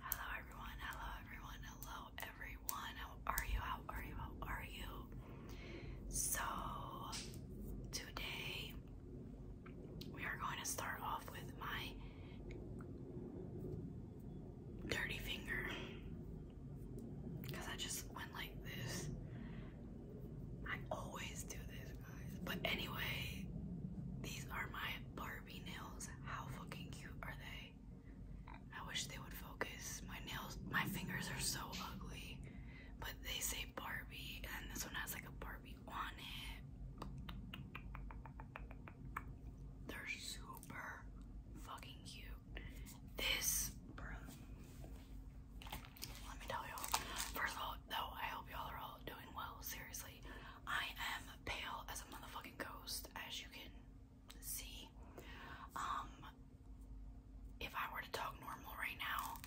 Hello everyone, hello everyone, hello everyone. How are you? How are you? How are you? So today we are going to start off with my dirty finger. Cause I just went like this. I always do this guys. But anyway, these are my bar Barbie nails. How fucking cute are they? I wish they would focus. My nails, my fingers are so ugly. But they say Barbie, and this one has like a Barbie on it. They're super fucking cute. This, bro. Let me tell y'all. First of all, though, I hope y'all are all doing well. Seriously. I am pale as a motherfucking ghost, as you can see. Um, if I were to talk normal right now,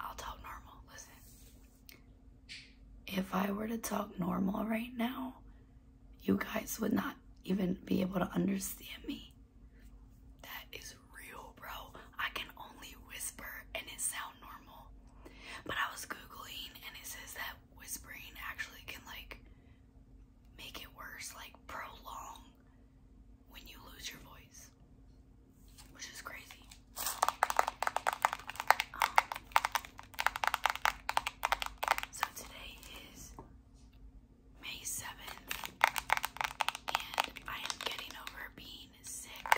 I'll talk normal. Listen. If I were to talk normal right now, you guys would not even be able to understand me. That is real, bro. I can only whisper and it sound normal. But I was googling and it says that whispering actually can like make it worse, like prolong when you lose your voice, which is crazy. Um, so today is May 7th, and I am getting over being sick.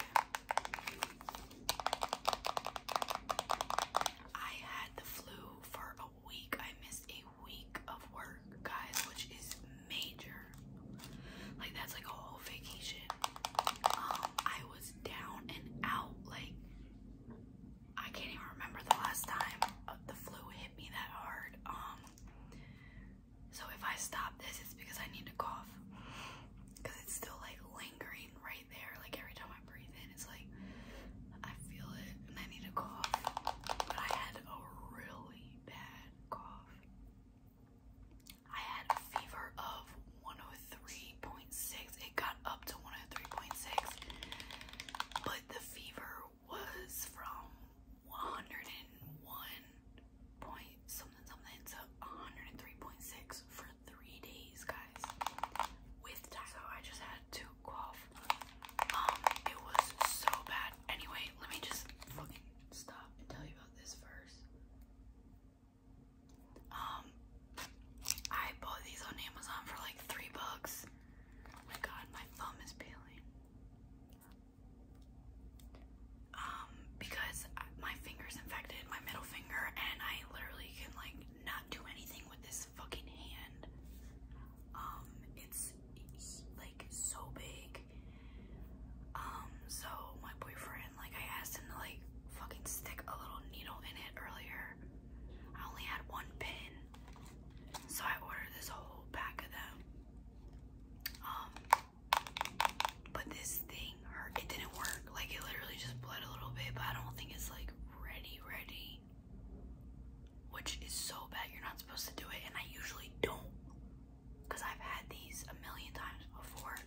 I had the flu for a week. I missed a week of work, guys, which is major. Like that's like a whole vacation. Um, I was down and out. Like I can't even remember the last time uh, the flu hit me that hard. Um, so if I stop this, it's because I need to cough. Cause it's still like lingering right there. Like every time I breathe in, it's like I feel it and I need to cough. But I had a really bad cough. I had a fever of 103.6. It got up to 103.6. But the fever was from 101 point something something to 103.6 three days, guys, with So I just had to cough. Um, it was so bad. Anyway, let me just fucking stop and tell you about this first. Um, I bought these on Amazon for like three bucks. Oh my god, my thumb is peeling. Um, because my finger's infected, my middle finger, and I literally can like not do anything with this fucking hand. Um, it's like so big. Um, so my boyfriend, like, I asked him to like fucking stick a little needle in it earlier. I only had one pin, so I ordered this whole pack of them. Um, but this thing hurt. It didn't work. Like, it literally just bled a little bit, but I don't think it's like ready, ready, which is so bad. You're not supposed to do it, and I usually don't because I've had these a million times before.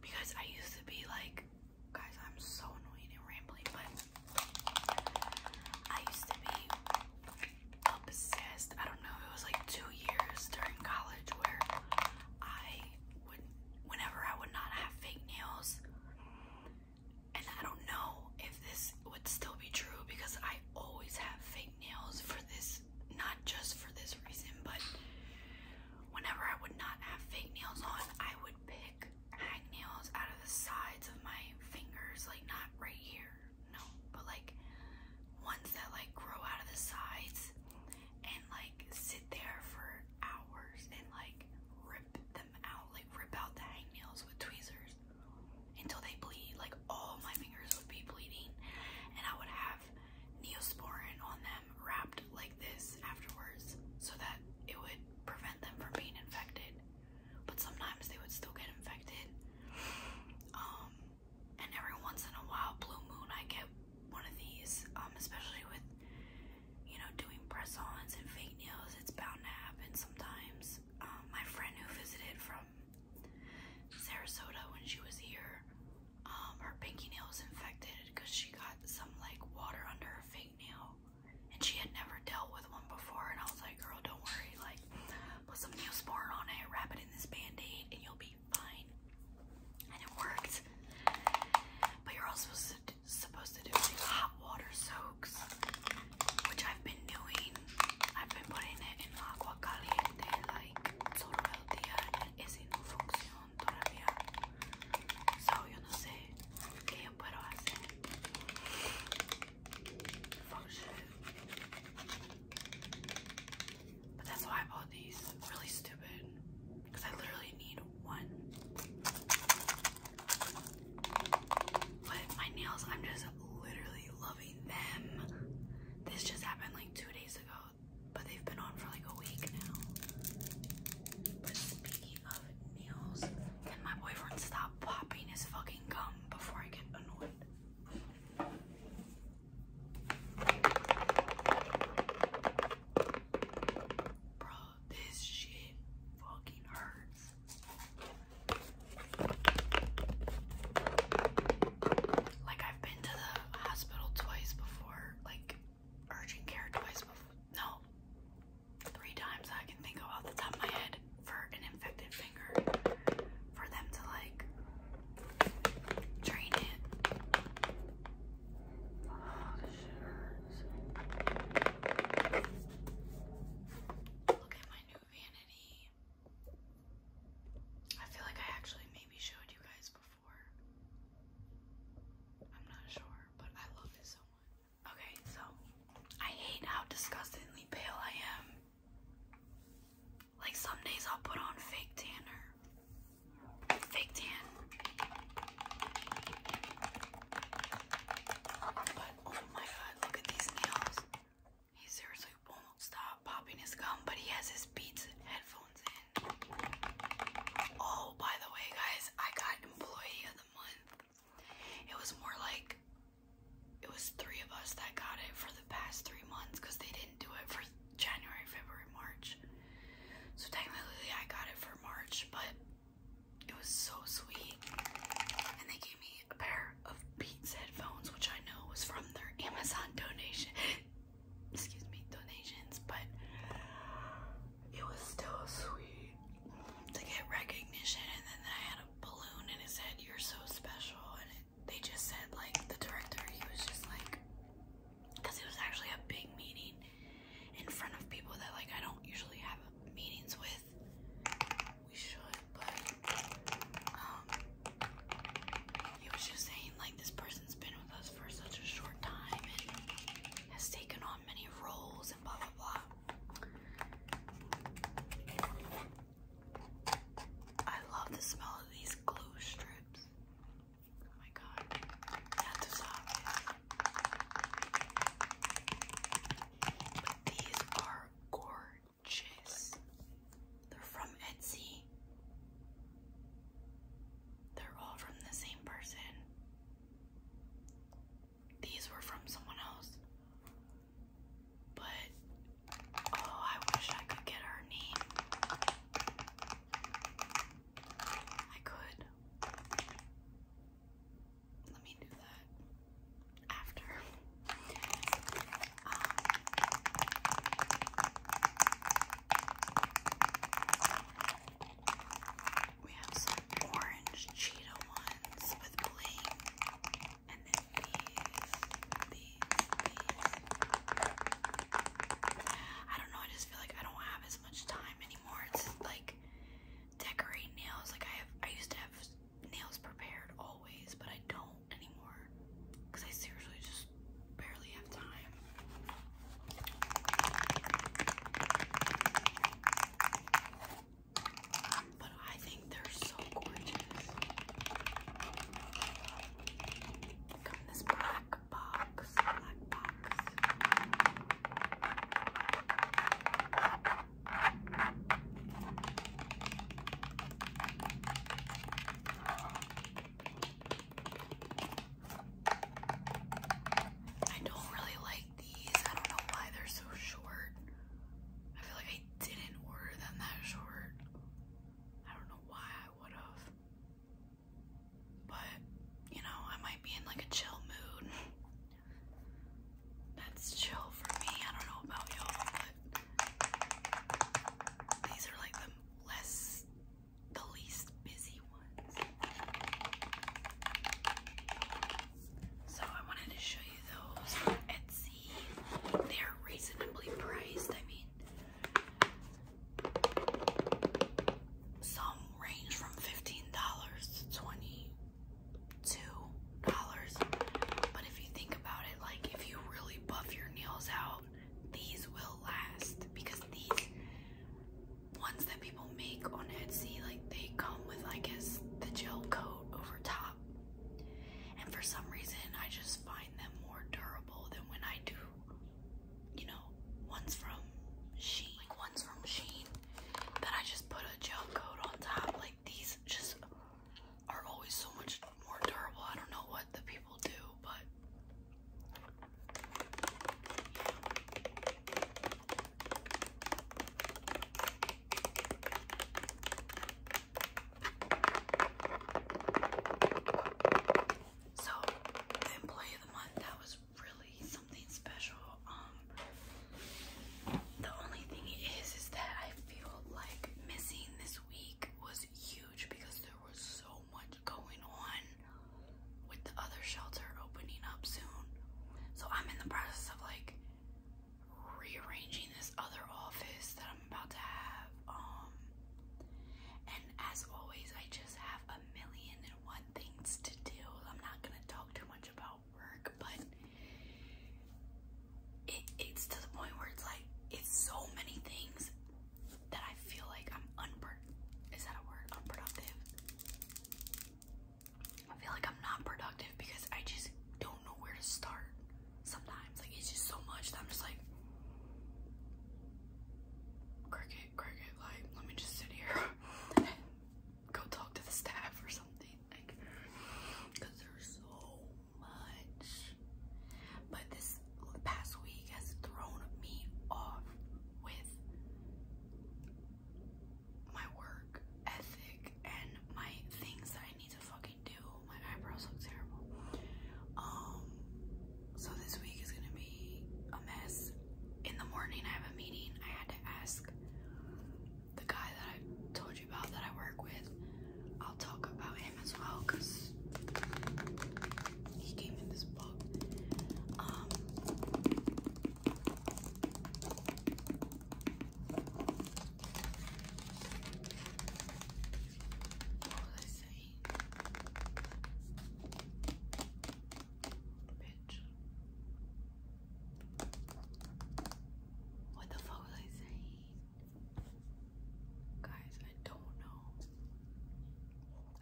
Because I used to be like, guys, I'm so annoying and rambling, but I used to be obsessed. I don't know, it was like two years during college where I when, whenever I would not have fake nails. And I don't know if this would still be true because I always have fake nails for this, not just for this reason, but whenever I would not have fake nails on, I would pick hang nails out of the sides of my fingers, like not right here, no, but like ones that like grow out of the sides and like sit there for hours and like rip them out, like rip out the hangnails with tweezers until they bleed. Like all my fingers would be bleeding, and I would have neosporin on them wrapped like this afterwards so that it would prevent them from being infected. But sometimes they would still get infected. Um, and every once in a while, blue moon, I get one of these, um, especially with you know, doing press ons and fake nails, it's bound to happen sometimes. Um, my friend who visited from Sarasota when she was here, um, her pinky nail was infected because she got some like water under her fake nail and she had never dealt with one before. And I was like, girl, don't worry, like, put some Neosporin on it, wrap it in this band aid, and you'll be fine. And it worked, but you're all supposed to supposed to do like hot water soaks, which I've been doing. I've been putting it in agua caliente like todo el So yo no not qué yo puedo hacer. Function. But that's why I bought these. Really stupid. Because I literally need but my nails, I'm just literally loving them. This just happened like two days ago, but they've been on for like a week now. But speaking of nails, can my boyfriend stop popping his fucking gum before I get annoyed? Bro, this shit fucking hurts. Like I've been to the hospital twice before, like urgent care twice before. No. Three times I can think of off the top of my head for an infected finger. For them to like drain it. Oh, shit Look at my new vanity. I feel like I actually maybe showed you guys before. I'm not sure, but I love it so much. Okay, so I hate how disgustingly pale I am. Like some days I'll put on fake tanner. Fake tan oh my god, look at these nails. He seriously won't stop popping his gum, but he has his Beats headphones in. Oh, by the way, guys, I got employee of the month. It was more like it was three of us that got it for the past three months because they didn't do it for January, February, March. So technically, I got it for March, but it was so sweet. And they gave me a pair of Beats headphones, which I know was from their Amazon donation. Excuse me, donations, but it was still sweet to get recognition. And then they had a balloon and it said, You're so special. And they just said, like, the director, he was just like, because it was actually a big meeting in front of people that like I don't usually have meetings with. We should, but um, he was just saying like this person's been with us for such a short time and has taken on many roles and blah blah blah. I love the smell of these glue strips. Oh my god. That's awesome these are gorgeous. They're from Etsy. They're all from the same person. These were from someone else. But oh, I wish I could get her name. I could let me do that after. Um, we have some orange cheetah ones with bling, and then these, these, these. I don't know. I just feel like I don't have as much time anymore. It's like decorate nails. Like I have, I used to have nails prepared always, but I don't anymore because I seriously just barely have time. But I think they're so gorgeous. Come this black box, black box. I don't really like these. I don't know why they're so short. I feel like I didn't order them that short. I don't know why I would have. But, you know, I might be in like a chill mood. That's chill for me. I don't know about y'all, but these are like the less, the least busy ones. So I wanted to show you those on Etsy. They're reasonably priced. I mean, some range from $15 to 20 two dollars. But if you think about it, like if you really buff your nails out, these will last because these ones that people make on Etsy, like they come with I guess the gel coat over top. And for some reason I just find them more durable than when I do you know, ones from Sheen. Like ones from Sheen then I just put a gel coat on top. Like these just are always so much more durable. I don't know what the people do, but so, employee of the month, that was really something special. Um, the only thing is, is that I feel like missing this week was huge because there was so much going on with the other shelter opening up soon. So I'm in the process of like rearranging this other office that I'm about to have. Um, and as always, I just have a million and one things to do. I'm not gonna talk too much about work, but it, it's to the point where it's like it's so many things that I feel like I'm unpro is that a word? Unproductive. I feel like I'm not productive because I just don't know where to start sometimes. Like it's just so much that I'm just like cricket, cricket, like let me just sit here go talk to the staff or something, like, there's so much. But this past week has thrown me off with my work ethic and my things that I need to fucking do. My eyebrows look terrible. Um, so this week is gonna be a mess. In the morning, I have a meeting. I had to ask the guy that I told you about that I work with, I'll talk about him as well because he came in this book. Um, what was I saying? Bitch. What the fuck was I saying? Guys, I don't know.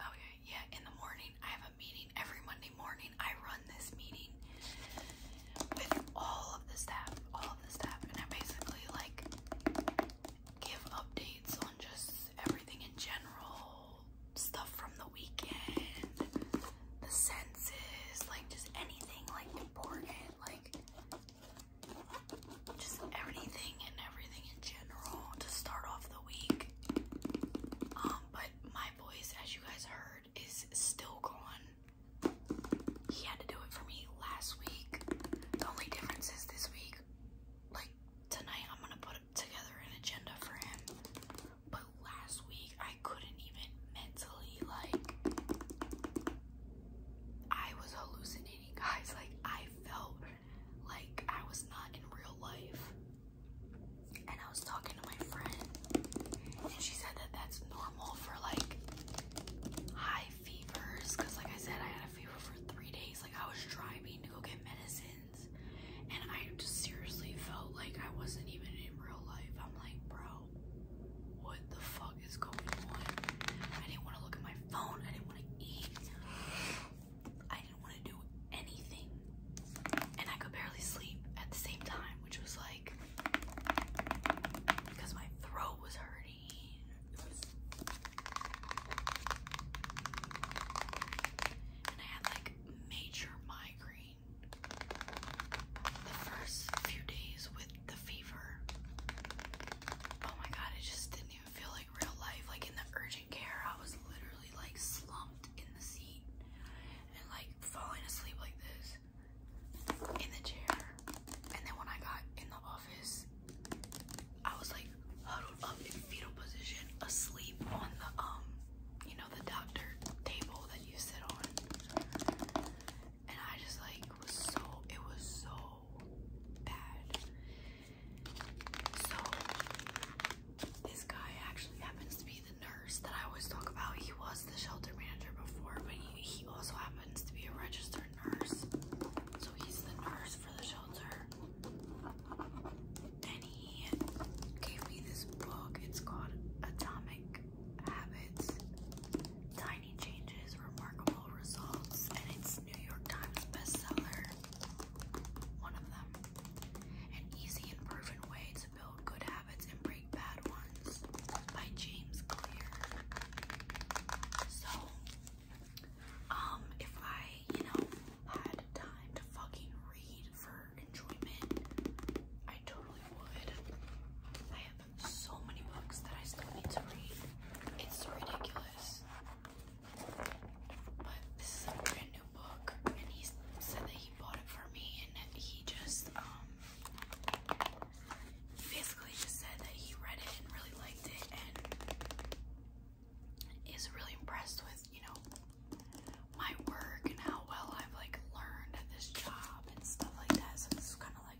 Okay, yeah, in the morning I have a meeting. Every Monday morning I run this meeting with all of the staff, all of the staff, and I basically like give updates on just everything in general, stuff from the weekend, the senses, like just anything like important, like just everything and everything in general to start off the week. Um, but my voice, as you guys heard, is still gone. He had to do it for me last week. The only difference is this week, like tonight, I'm gonna put together an agenda for him but last week I couldn't even mentally like I was hallucinating, guys. Like I felt like I was not in real life. And I was talking to my friend and she said that that's normal for like high fevers cuz like I said I had a fever for 3 days. Like I was driving to go get medicines and I just seriously felt like I wasn't even in real life. I'm like, bro, what the fuck is going on. I didn't want to look at my phone. I didn't want to eat. I didn't want to do anything. And I could barely sleep at the same time, which was like because my throat was hurting. and I had like major migraine. The first few days with the fever, oh my god, it just didn't even feel like real life. Like in the urgent care, I was literally like slumped in the seat and like falling asleep like this in the chair. And then when I got in the office, I was like huddled up in fetal position, asleep on the um, you know, the doctor table that you sit on and I just like was so it was so bad. So this guy actually happens to be the nurse that I always talk about. He was the shelter manager before, but he, he also happens to be a registered nurse. So he's the nurse for the shelter. And he gave me this book. It's called Atomic habits, tiny changes, remarkable results, and it's New York Times bestseller. One of them. An easy and proven way to build good habits and break bad ones by James Clear. So, um, if I, you know, had time to fucking read for enjoyment, I totally would. I have so many books that I still need to read. It's ridiculous. But this is a brand new book, and he said that he bought it for me, and he just, um, basically just said that he read it and really liked it, and is really impressed with, you know, my work and how well I've, like, learned at this job and stuff like that, so this is kind kind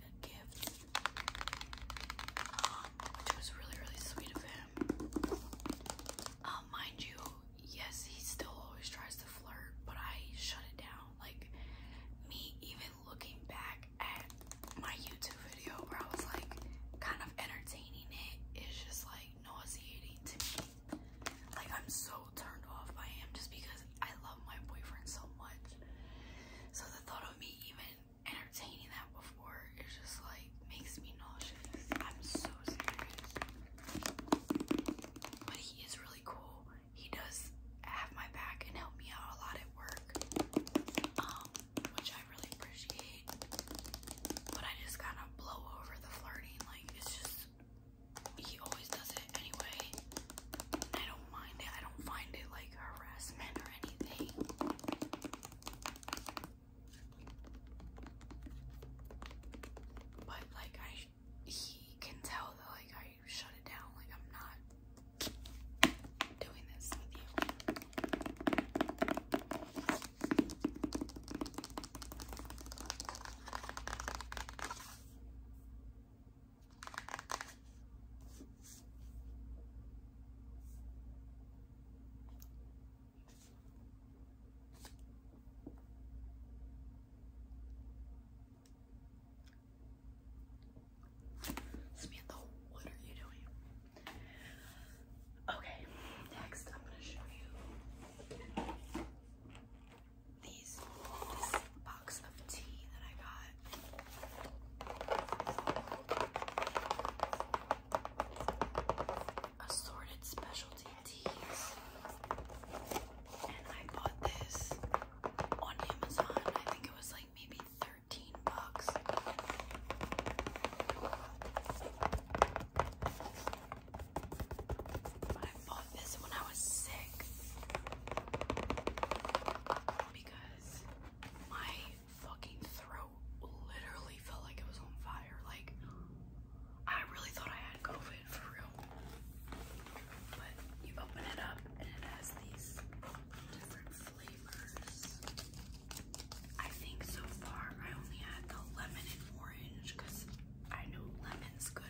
um, which was really, really sweet of him. Um, mind you, yes, he still always tries to flirt, but I shut it down. Like, me even looking back at my YouTube video where I was like kind of entertaining it, it's just like nauseating to me. Like, I'm so turned off I am just because I love my boyfriend so much. So the thought of me even entertaining that before it just like makes me nauseous. I'm so serious. But he is really cool. He does have my back and help me out a lot at work. Um, which I really appreciate. But I just kind of blow over the flirting. Like it's just he always does it anyway. I don't mind it. I don't find it like harassment or anything. But like I, he can tell that like I shut it down. Like I'm not doing this with you. Samantha, what are you doing? Okay, next I'm going to show you these box of tea that I got. Assorted specialty teas. And I bought this on Amazon. I think it was like maybe 13 bucks. I bought of this when I was sick because my fucking throat literally felt like it was on fire. Like, I really thought I had COVID for real. But you open it up and it has these different flavors. I think so far I only had the lemon and orange because I know lemon's good.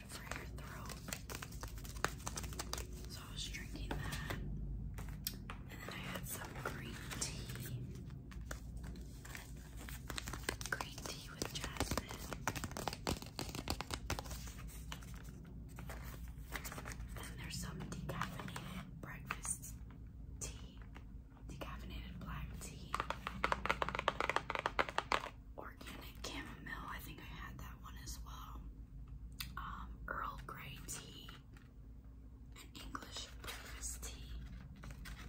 So I was drinking that. And then I had some green tea. Green tea with jasmine. Then there's some decaffeinated breakfast tea. Decaffeinated black tea. Organic chamomile. I think I had that one as well. Um, Earl Grey tea, an English breakfast tea,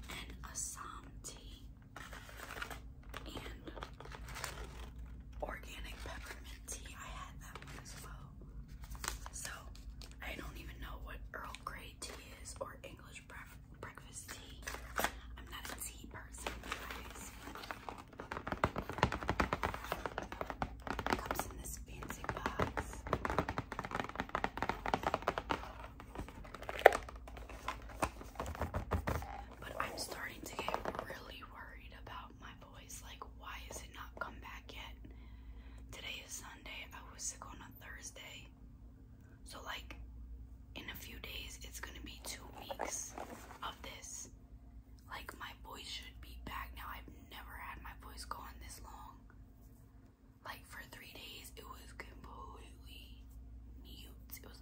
an Assam tea, and organic peppermint tea. I had that one as well. So I don't even know what Earl Grey tea is or English breakfast tea. I'm not a tea person, guys. But I'm starting to get really worried about my voice. Like, why is it not come back yet? Today is Sunday. I was sick on a Thursday. So, like, in a few days, it's gonna be two weeks of this. Like, my voice should be back now. I've never had my voice gone this long. Like, for three days, it was completely mute. It was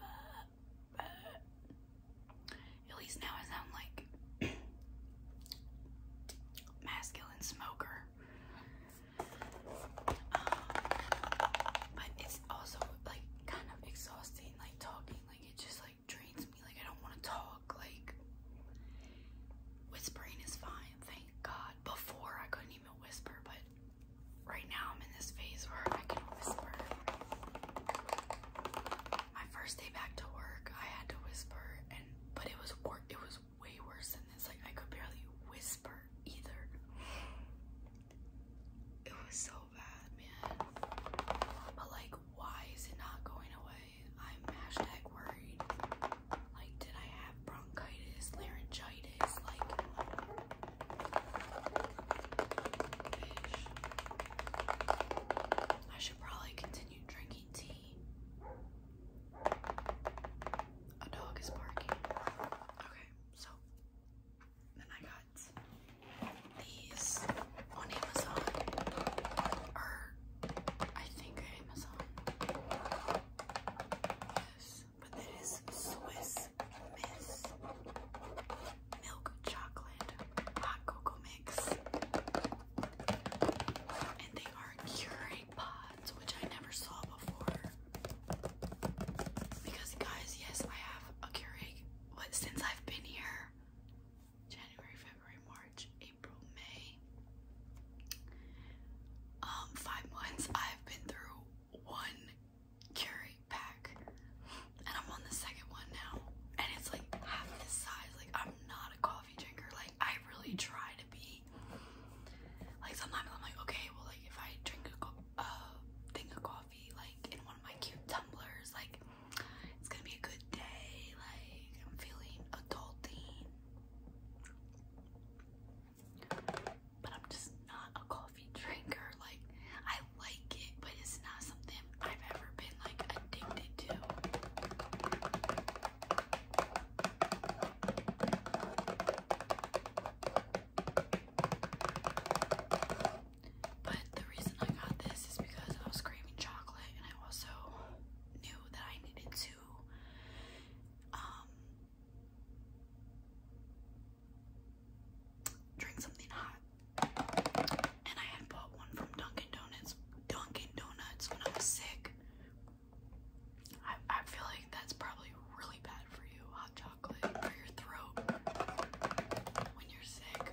like, uh, uh. at least now I sound like masculine smoker. Um, but it's also like kind of exhausting, like talking, like it just like drains me. Like I don't want to talk. Like whispering is fine, thank God. Before I couldn't even whisper, but right now I'm in this phase where I can whisper. My first day back to work, I had to whisper, and but it was wor it was way worse than this. Like I could barely whisper either. It was so man. But like, why is it not going away? I'm hashtag worried. Like, did I have bronchitis, laryngitis? Like, I should probably continue drinking tea. A dog is barking. Okay, so then I got these on Amazon, or I think Amazon. Yes, but it is Swiss Miss milk chocolate hot cocoa mix, and they are Keurig pods, which I never saw before. Because guys, yes, I have a Keurig, but since I've been here, January, February, March, April, May. Um, five months I've been through one Keurig pack, and I'm on the second one now, and it's like half this size. Like, I'm not a coffee drinker, like, I really try to be. Like, sometimes I'm like, okay, well, like, if I drink a uh, thing of coffee, like, in one of my cute tumblers, like, it's gonna be a good day. Like, I'm feeling adulting. But I'm just not a coffee drinker. Like, I like it, but it's not something I've ever been like addicted to. But the reason I got this is because I was craving chocolate and I also knew that I needed to um, drink something hot. And I had bought one from Dunkin' Donuts Dunkin' Donuts when I was sick. I, I feel like that's probably really bad for you, hot chocolate for your throat when you're sick.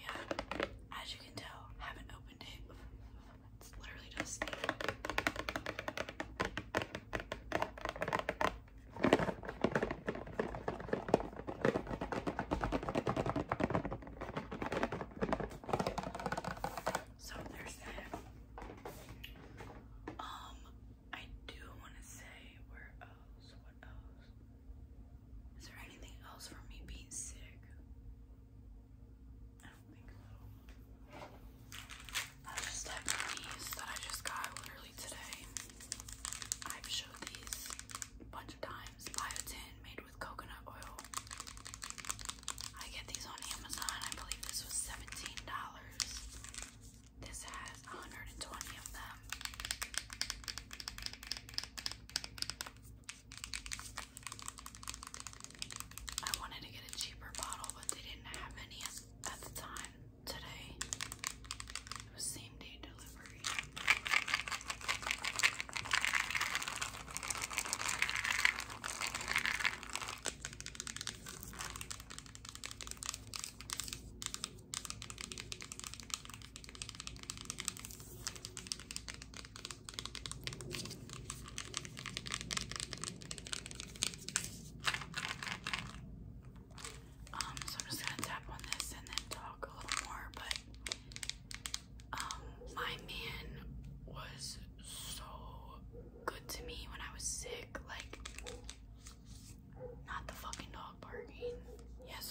yeah, as you can tell, haven't opened it. It's literally just so there's that. Um, I do want to say where else? What else? Is there anything else for me being sick? I don't think so. I just have that I just got literally today. I've showed these a bunch of times. Biotin made with coconut oil. I get these on Amazon. I believe this was $17. This has 120 of them. I wanted to get a cheaper bottle, but they didn't have any at the time today. It was same day delivery. Um, so I'm just gonna tap on this and then talk a little more, but um, my man was so good to me when I was sick, like, not the fucking dog, dog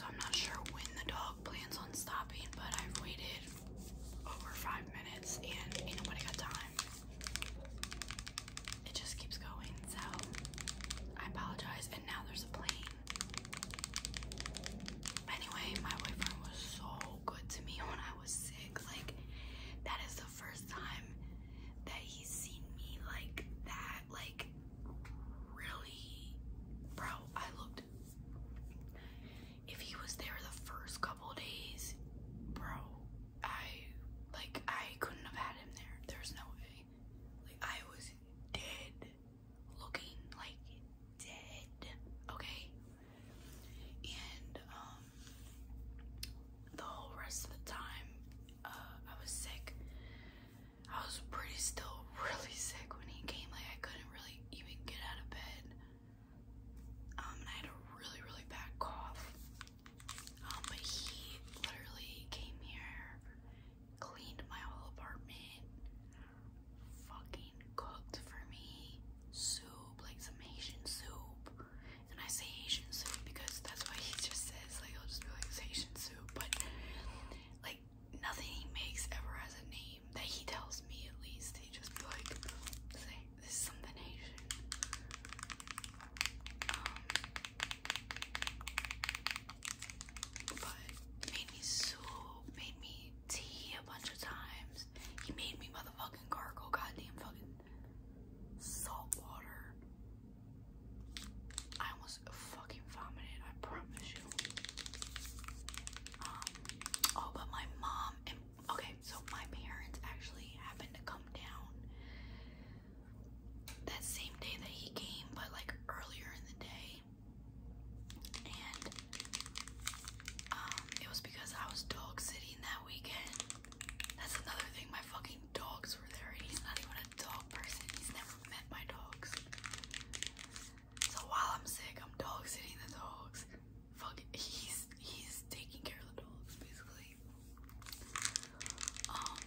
I'm not sure when the dog plans on stopping, but I've waited over five minutes and nobody got time. It just keeps going, so I apologize. And now there's a plane. Anyway, my boyfriend was so good to me when I was sick. Like, that is the first time that he's seen me like that. Like, really, bro, I looked. If he was there the first couple days, bro, I like I couldn't have had him there. There's no way. Like I was dead, looking like dead. Okay, and um, the whole rest of the time, uh, I was sick. I was pretty still really sick when he came. Like I couldn't really even get out of bed. Um, and I had a really really bad cough. Um, but he literally came here, cleaned my whole apartment, fucking cooked for me soup, like some Asian soup. And I say Asian soup because that's what he just says. Like I'll just be like it's soup, but. Like nothing he makes ever has a name that he tells me at least. He just be like, say this is something Asian. Um, but made me soup, made me tea a bunch of times. He made me motherfucking gargle, goddamn fucking salt water. I almost fucking vomited, I promise you. Um, oh, but my mom and okay, so my parents actually happened to come down that same day that he came, but like earlier in the day. And um, it was because I was dog sitting that weekend. That's another thing, my fucking dogs were there, he's not even a dog person. He's never met my dogs. So while I'm sick, I'm dog sitting the dogs. Fuck, he's he's taking care of the dogs basically. Um,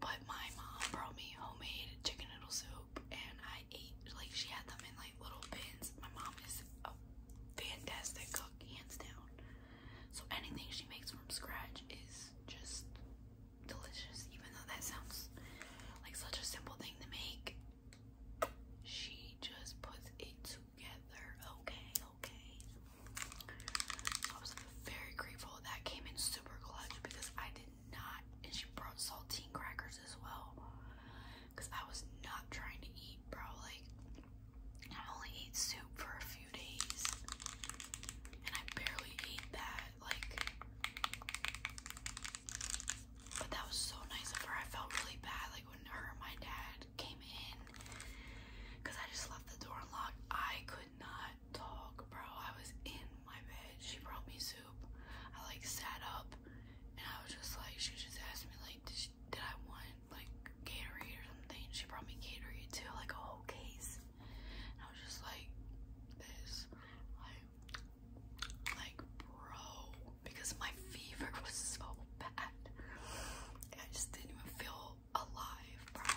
but my mom brought me homemade chicken noodle soup, and I ate like she had them in like little bins. My mom is a fantastic cook, hands down. So anything she makes from scratch is just delicious, even though that sounds like such a simple thing to make. She just puts it together. Okay, okay. I was very grateful that came in super clutch because I did not, and she brought saltine crackers as well. Because I was not trying to eat, bro. Like, I only ate soup for a few days, and I barely ate that like but that was so nice of her. I felt really bad like when her and my dad came in because I just left the door unlocked. I could not talk, bro. I was in my bed. She brought me soup. I like sat up and I was just like she just asked me like did, I want like Gatorade or something. She brought me Gatorade too, like a whole case. I was just like this, like, like bro, because my fever was so bad. I just didn't even feel alive, bro.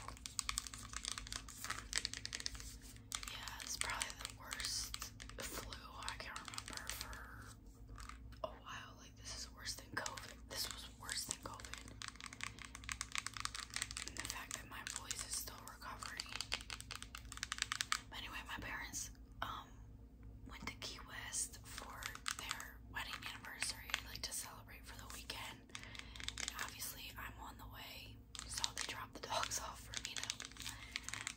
Yeah, it's probably the worst flu I can remember for a while. Like this is worse than COVID. This was worse than COVID the fact that my voice is still recovering. anyway, my parents um went to Key West for their wedding anniversary, like to celebrate for the weekend. obviously, I'm on the way, so they dropped the dogs off for me to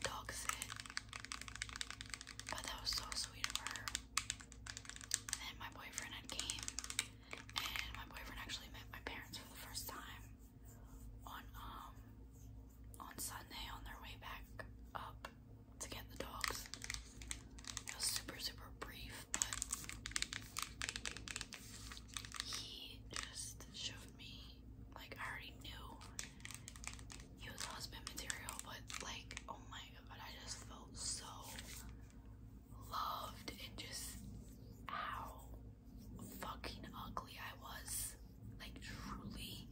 dog sit. But that was so sweet of her. And then my boyfriend came, and my boyfriend actually met my parents for the first time on um on Sunday on their way back up to get the dogs. It was super super brief, but he just showed me like I already knew he was husband material, but like oh my god, I just felt so loved and just how fucking ugly I was. Like truly.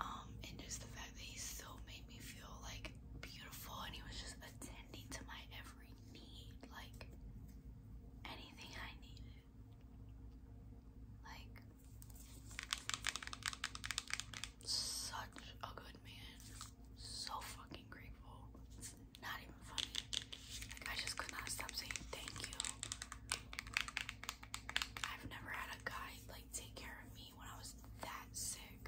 Um, and just the fact that he still made me feel like beautiful and he was just attending to my every need, like anything I needed. Like such a good man. So fucking grateful not even funny. I just could not stop saying thank you. I've never had a guy like take care of me when I was that sick.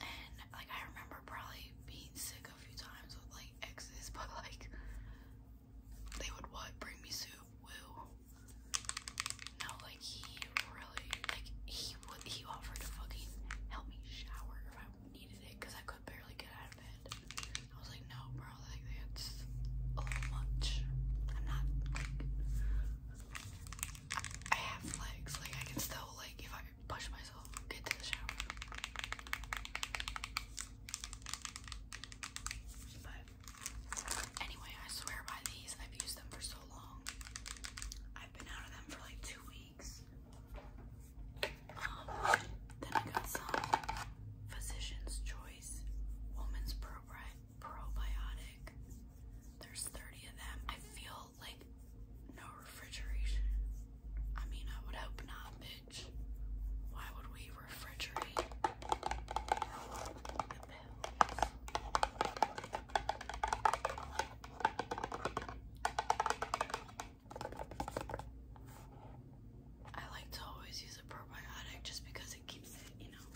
and like I remember probably being sick a few times with like exes, but like they would what bring me soup, No, like he really, like he he offered to fucking help me shower if I needed it because I could barely get out of bed. I was like, no, bro, that's a little I'm not like I have legs, like I can still like if I push myself get to the shower. But anyway, I swear by these. I've used them for so long. I've been out of them for like two weeks. Um, then I got some Physician's Choice Woman's Probiotic. There's 30 of them. I feel like no refrigeration. I mean, I would hope not, bitch. Why would we refrigerate the pills? I like to always use a probiotic just because it keeps it, you know,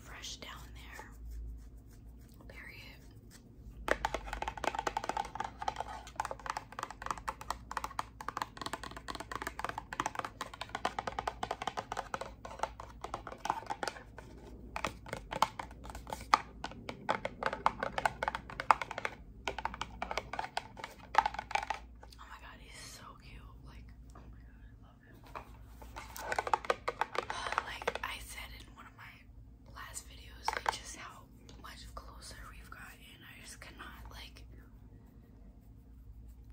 fresh down there. Period. Oh my god, he's so cute. Like, oh my god, I love him. like I said in one of my last videos, like just how much closer we've gotten. I just cannot like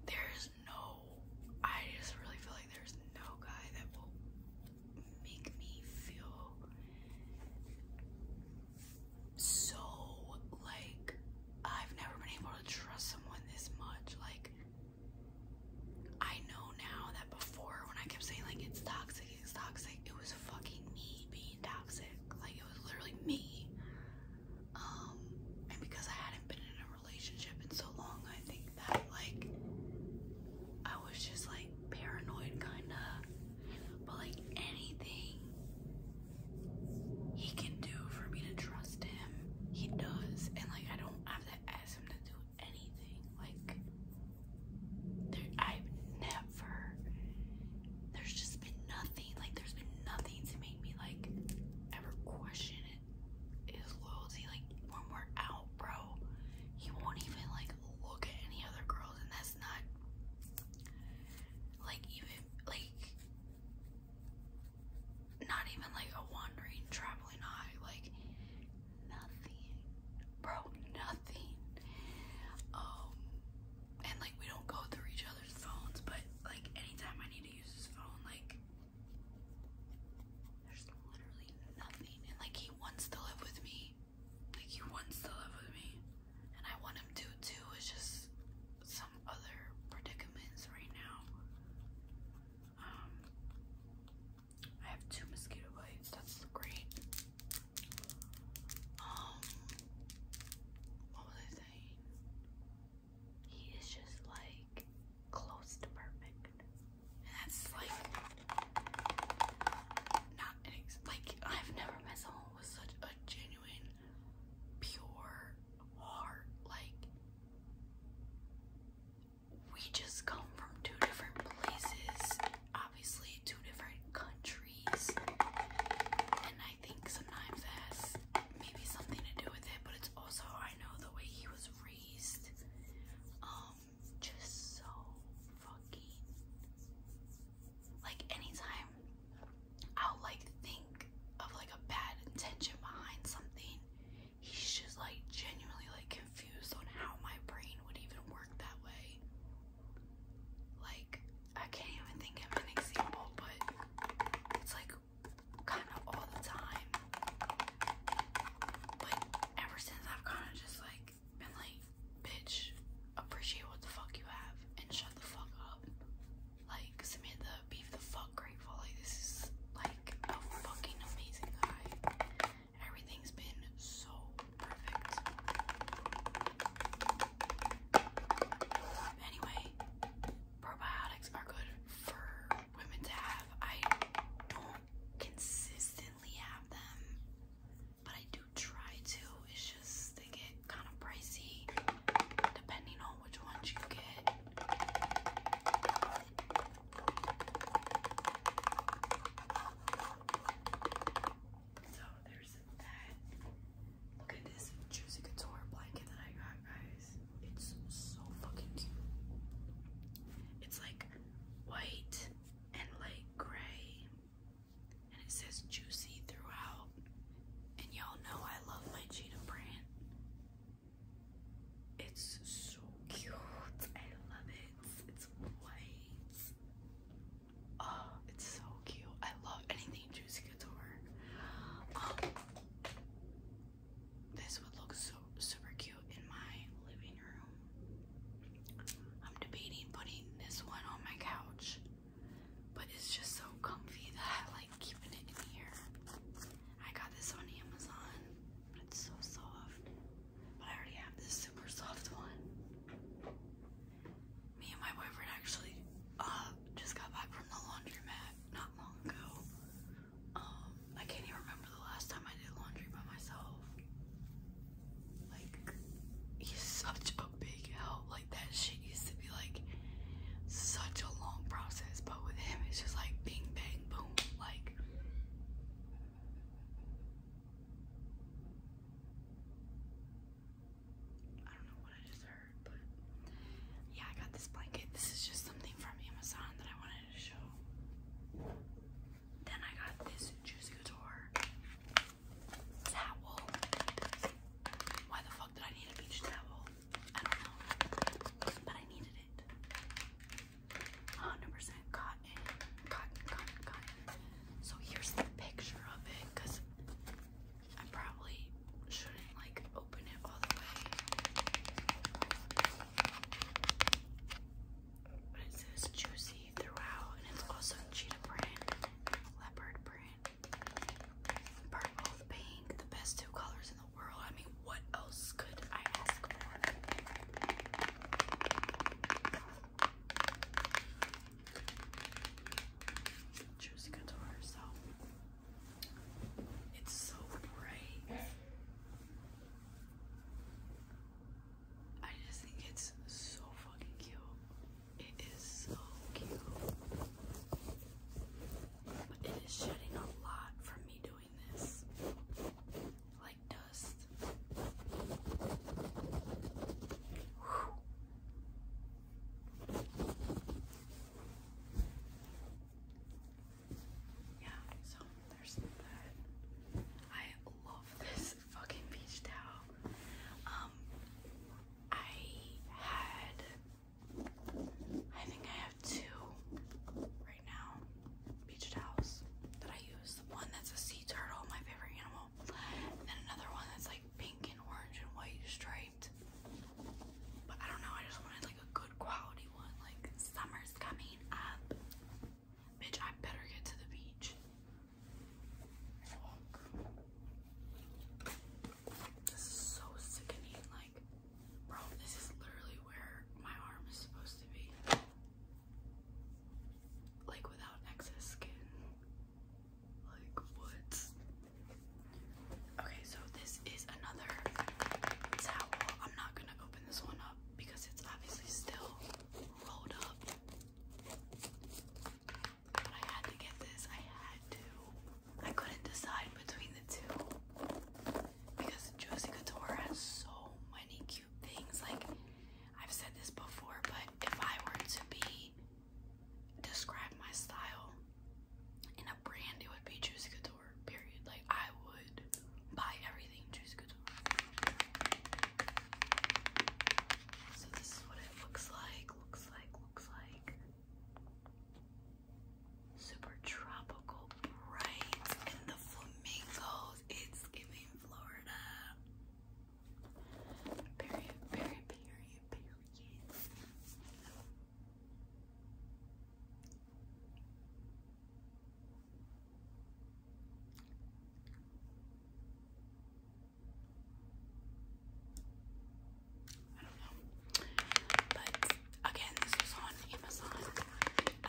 there's no I just really feel like there's no guy that will make me feel so like I've never been able to trust someone this much. Like, I know now that before when I kept saying, like, it's toxic, it's toxic, it was fucking me being toxic. Like, it was literally me. Um, and because I hadn't been in a relationship in so long, I think that, like, I was just like, paranoid kinda. But like anything he can do for me to trust him, he does. And like I don't have to ask him to do anything. Like I've never there's just been nothing, like there's been nothing to make me like ever question His loyalty, like when we're out, bro, he won't even like look at any other girls, and that's not like even like not even like a wandering traveling eye, like nothing, bro, nothing. Um, and like we don't go through each other's phones, but like anytime I need to use his phone, like. There's literally nothing, and like he wants to live with me, like he wants to live with me and I want him to too. It's just some other predicaments right now. Um I have two mosquito bites, that's great. Um what was I saying? He is just like close to perfect. And that's like not like I've never met someone with such a genuine, pure heart. Like we just come from two different places, obviously two different countries, and I think sometimes that's maybe something to do with it. But it's also I know the way he was raised. Um, just so fucking like anytime I'll like think of like a bad intention behind something, he's just like genuinely like confused on how my brain would even work that way. Like I can't even think of an example, but it's like kind of all the time. But ever since I've kind of just like and like, bitch, appreciate what the fuck you have and shut the fuck up. Like, Samantha, be the fuck grateful. Like, this is like a fucking amazing guy. Everything's been so perfect. Anyway, probiotics are good for women to have. I don't consistently have them but I do try to. It's just they get kind of pricey depending on which ones you get. So there's that. Look at this Juicy Couture blanket that I got, guys. It's so fucking cute. It's like white and like gray and it says juicy throughout. And y'all know I love my Cheetah brand. It's so cute. I love it. It's white. Oh, it's so cute. I love anything Juicy Couture. Um, this would look so super cute in my living room. I'm debating putting this one on my couch, but it's just so comfy that I like keeping it in here. I got this on Amazon, but it's so soft. But I already have this super soft one. Me and my boyfriend actually uh, just got back from the laundromat not long ago. Um, I can't even remember the last time I did laundry by myself. Like, he's such a big help. Like, that shit used to be like such a long process, but with him, it's just like bing, bang, boom. Like, I don't know what I just heard, but yeah, I got this blanket. This is just something from Amazon that I wanted to show. Then I got this Juicy Couture towel. Why the fuck did I need a beach towel? I don't know. But I needed it. 100% cotton. Cotton, cotton, cotton. So here's the picture of it because I probably shouldn't like open it all the way. it says juicy throughout, and it's also cheetah print, leopard print, purple, pink, the best two colors in the world. I mean, what else could I ask for? Juicy Couture, so it's so bright. I just think it's so fucking cute. It is so cute. But it is shedding a lot from me doing this. Like dust. Yeah, so there's that. I love this fucking beach towel. Um, I had, I think I have two right now beach towels that I use. The one that's a sea turtle, my favorite animal, and then another one that's like pink and orange and white striped. But I don't know, I just wanted like a good quality one. Like summer's coming up. Bitch, I better get to the beach. This is so sickening. Like, bro, this is literally where my arm is supposed to be. Like, without excess skin. Like, what? Okay, so this is another towel. I'm not gonna open this one up because it's obviously still rolled up. I had to get this. I had to. I couldn't decide between the two because Josie Couture has so many cute things. Like, I've said this before, but if I were to be describe my style in a brand, it would be Juicy Couture, period. Like, I would buy everything Juicy Couture. So, this is what looks like, looks like, looks like. Super tropical, bright, and the flamingos. It's giving Florida. Period, period, period, period. I don't know. But again, this was on Amazon. I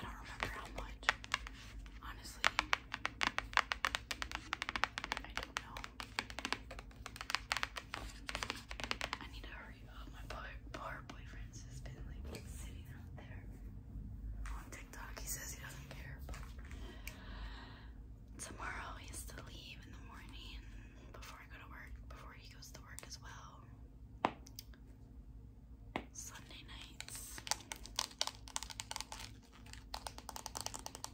don't remember how much. Honestly, I don't know. I need to hurry up. My bar, boyfriend's has been like sitting out there on TikTok. He says he doesn't care, tomorrow he has to leave in the morning before I go to work, before he goes to work as well. Sunday nights.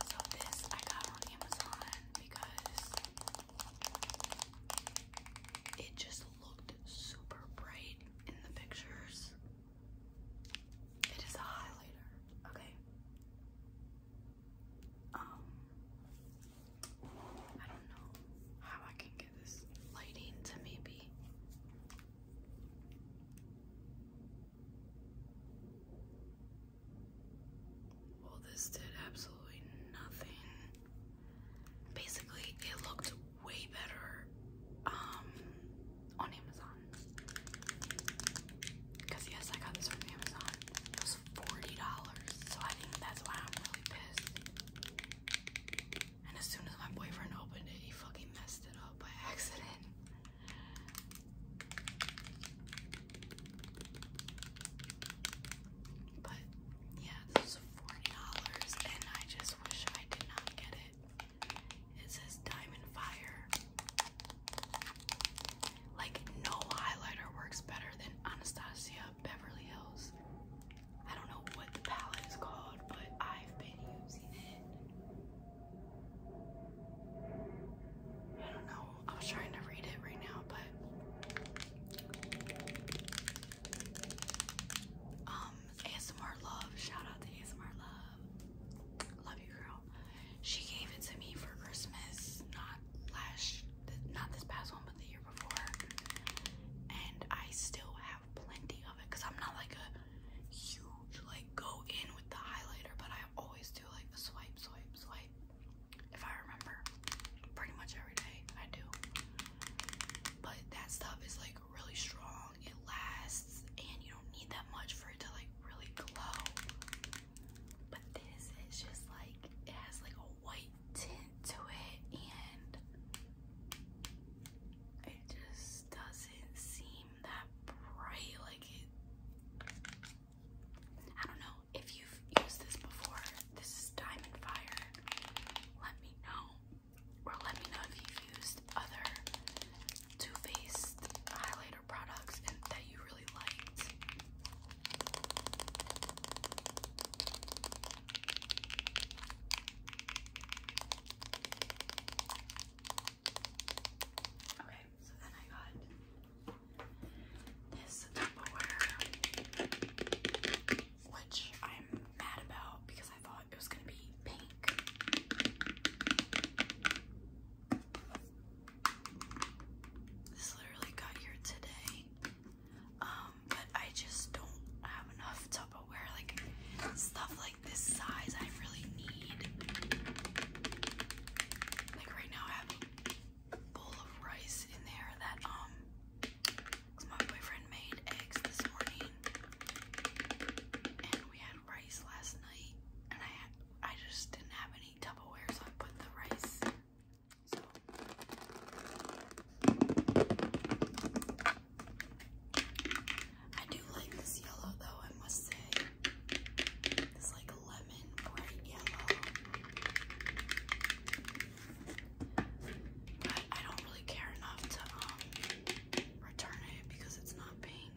So this I got on Amazon because it just looked super bright in the pictures. It is a highlighter. Okay. Um, I don't know how I can get this lighting to maybe well this did absolutely nothing basically it looked way better um on Amazon Cause yes, I got this from Amazon. It was forty dollars, so I think that's why I'm really pissed. And as soon as my boyfriend opened it, he fucking messed it up by accident. But yeah, this was forty dollars, and I just wish I did not get it. It says Diamond Fire like, no highlighter works better than Anastasia Beverly Hills. I don't know what the palette is called, but I've been using it. I don't know. I was trying to read it right now, but um, ASMR love. Shout out to ASMR love. Love you, girl. She gave it to me for Christmas, not last, not this past one, but the year before. And I still have plenty of it because I'm not like a huge like go in with the highlighter, but I always do like the swipe, swipe, swipe. If I remember, pretty much every day I do. But that stuff is like really strong. It lasts, and you don't need that much for it to like really glow. But this is just like it has like a white tint to it and it just doesn't seem that bright like it I don't know if you've used this before. This is Diamond Fire. Let me know. Or let me know if you've used other Too Faced highlighter products that you really liked. Okay, so then I got this Tupperware, which I'm mad about because I thought it was gonna be pink. This literally got here today. Um, but I just don't have enough Tupperware. Like stuff like this size, I really need. Like right now, I have a bowl of rice in there that um, cause my boyfriend made eggs this morning, and we had rice last night, and I I just didn't have any many I put the rice. I do like this yellow though, I must say. This like lemon bright yellow. But I don't really care enough to um, return it because it's not pink.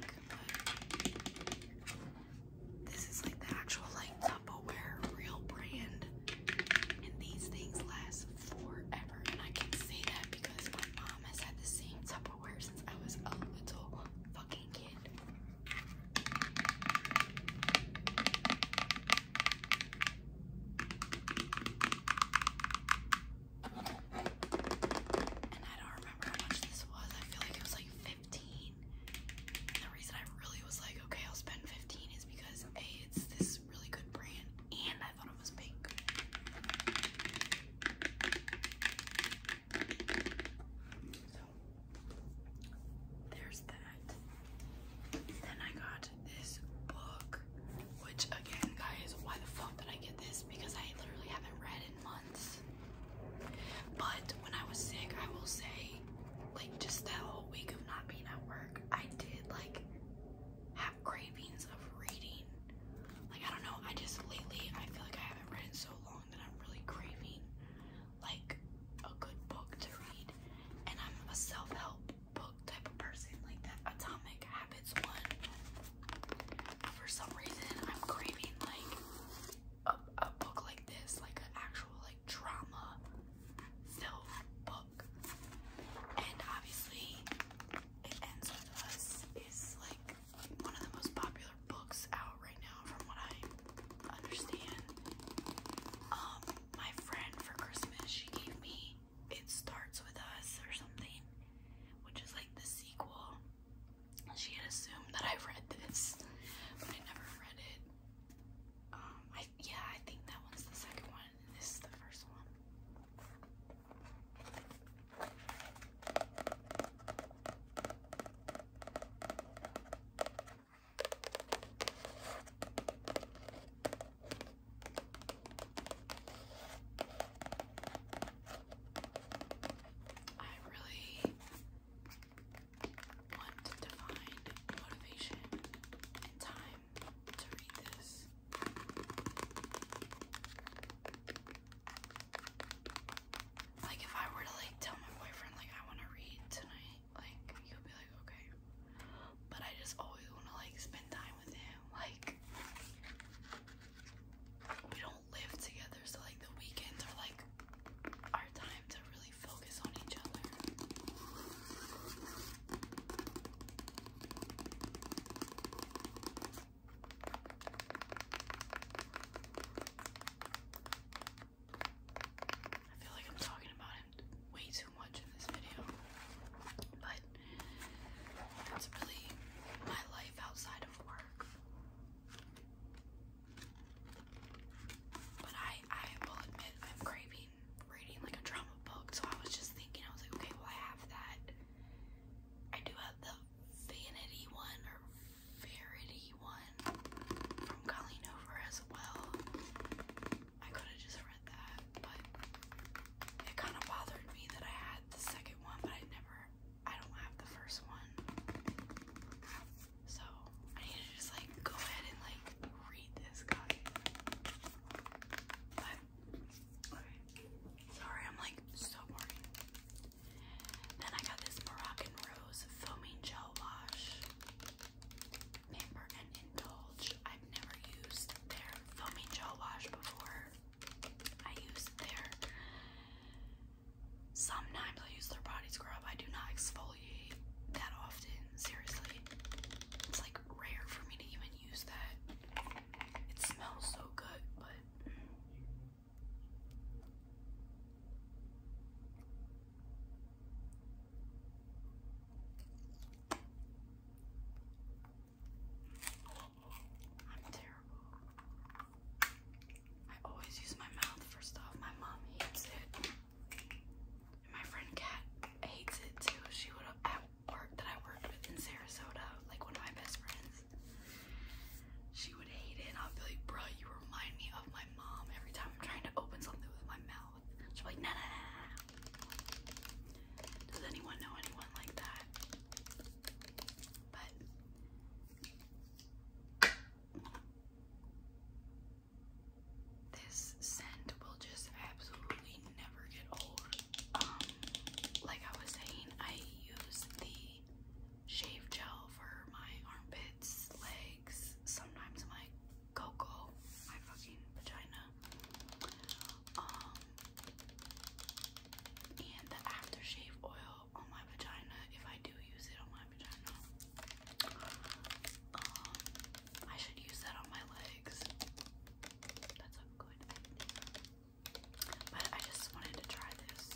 This is like the actual like Tupperware real brand. And these things last forever. And I can say that because my mom has had the same Tupperware since I was a little fucking kid. And I don't remember how much this was. I feel like it was like 15 the reason I really was like, okay, I'll spend 15 is because A, it's this really good brand, and I thought it was pink. So there's that. Then I got this book, which again, guys, why the fuck did I get this? Because I literally haven't read in months. But when I was sick, I will say, like, just that whole week of not being at work, I did, like, have cravings of reading. Like, I don't know, I just lately, I feel like I haven't read in so long that I'm really craving, like, a good book to read. And I'm a self help book type of person, like that Atomic Habits one. For some reason, I'm craving, like, a, book like this, like an actual like drama filled book. And obviously, It Ends With Us is like one of the most popular books out right now, from what I understand. Um, my friend for Christmas, she gave me It Starts With Us or something, which is like the sequel. She had assumed that I read this, but I never read it. Um, I, yeah, I think that one's the second one, this is the first one. I really want to find motivation and time to read this. Like if I were to like tell my boyfriend like I want to read tonight, like he'll be like okay. But I just always want to like spend time with him. Like we don't live together, so like the weekends are like our time to really I feel like I'm talking about him way too much in this video, but that's really my life outside of work. But I, I will admit I'm craving reading like a drama book, so I was just thinking, I was like, okay, well I have that. I do have the Vanity one or Verity one from Colleen Over as well. I could have just read that, but it kind of bothered me that I had the second one, but I never, I don't have the first one. So I need to just like go ahead and like read this guy. Sorry, I'm like so boring. Then I got this Moroccan Rose foaming gel wash. Pamper and Indulge. I've never used their foaming gel wash before. I use their sometimes I use their body scrub. I do not exfoliate that often, seriously. It's like rare for me to even use that. It smells so good, but. I'm terrible. I always use my mouth for stuff. My mom hates it. And my friend Kat hates it too. She would have at work that I worked with in Sarasota, like one of my best friends. She would hate it, and I'd be like, "Bro, you remind me of my mom every time I'm trying to open something with my mouth." She'd be like, "Nah, nah, nah." Does anyone know anyone like that? But this scent will just absolutely never get old. Um, like I was saying, I use the shave gel for my armpits, legs, sometimes my cocoa, my fucking vagina. Um, and the aftershave oil on my vagina, if I do use it on my vagina. Um, I should use that on my legs. That's a good But I just wanted to try this,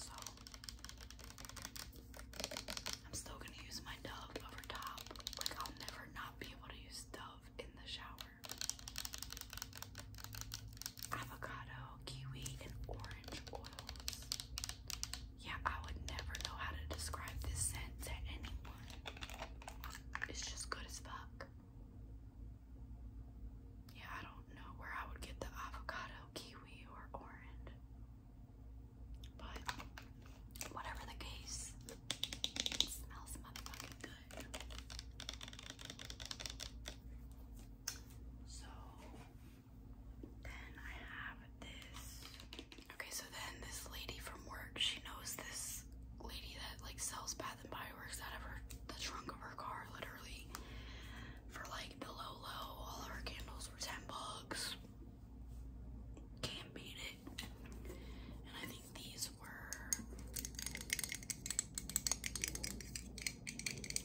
so I'm still gonna use my Dove over top. Like I'll never not be able to use Dove in the shower. Avocado, kiwi, and orange oils. Yeah, I would never know how to describe this scent to anyone. It's just good as fuck. Yeah, I don't know where I would get the avocado, kiwi, or orange. But whatever the case, smells motherfucking good. So Okay, so then this lady from work, she knows this lady that like sells Bath and Body Works out of her the trunk of her car, literally. For like the low low, all her candles were ten bucks. Can't beat it. And I think these were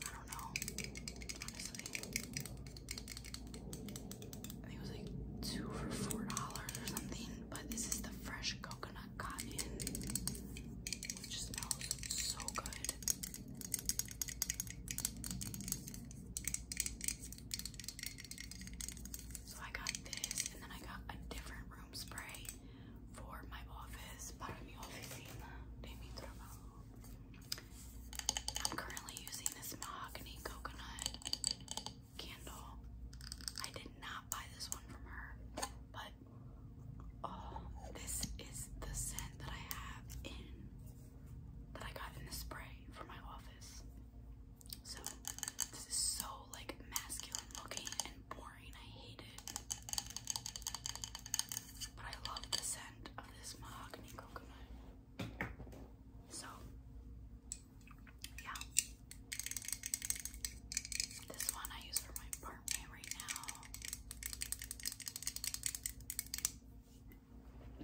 I don't know. Honestly it was like two for four dollars or something. But this is the fresh coconut cotton, which smells so good. So I got this, and then I got a different room spray for my office. Para mi oficina de mi trabajo. I'm currently using this mahogany coconut candle. I did not buy this one from her, but oh, this is the scent that I have in that I got in the spray for my office. So this is so like masculine looking and boring. I hate it. But I love the scent of this mahogany coconut. So, yeah. This one I use for my apartment right now.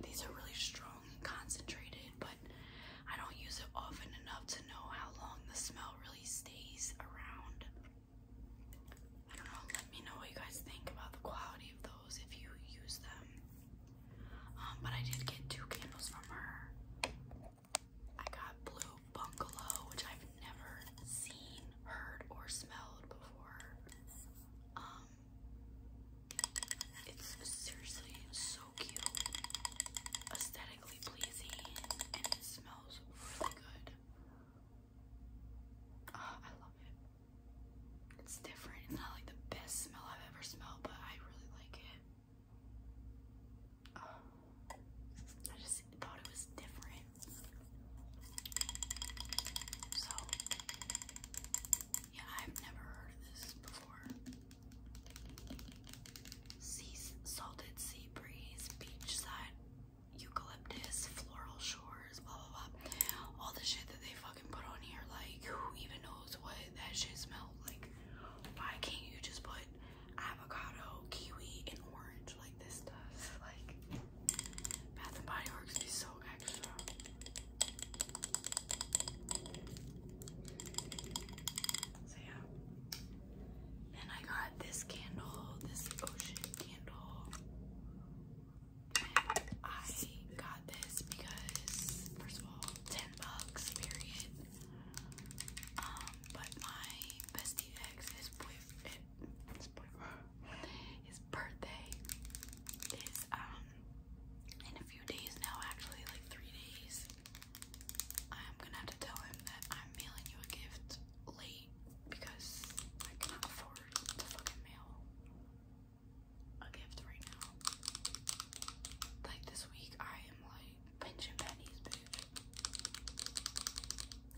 These are really strong and concentrated, but I don't use it often enough to know how long the smell really stays around. I don't know, let me know what you guys think about the quality of the if you use them. Um, but I did get two candles from her. I got Blue Bungalow, which I've never seen, heard, or smelled before. Um, it's seriously so cute, aesthetically pleasing, and it smells really good. Uh, I love it. It's different. It's not like the best smell I've ever smelled, but I really like it. Oh. I just thought it was different. So, yeah, I've never heard this before. Sea salted sea breeze, beachside eucalyptus, floral shores, blah blah blah. All the shit that they fucking put on here, like who even knows what that shit smelled like why can't you just put avocado, kiwi, and orange like this does? Like Bath and Body Works is so extra. So Then I got this candle, this ocean candle. I got this because, first of all, 10 bucks, period. Um, but my bestie ex, his boyfriend, his birthday is, um, in a few days now, actually, like three days. I'm gonna have to tell him that I'm mailing you a gift late because I cannot afford to fucking mail a gift right now. Like this week, I am like pinching pennies, bitch.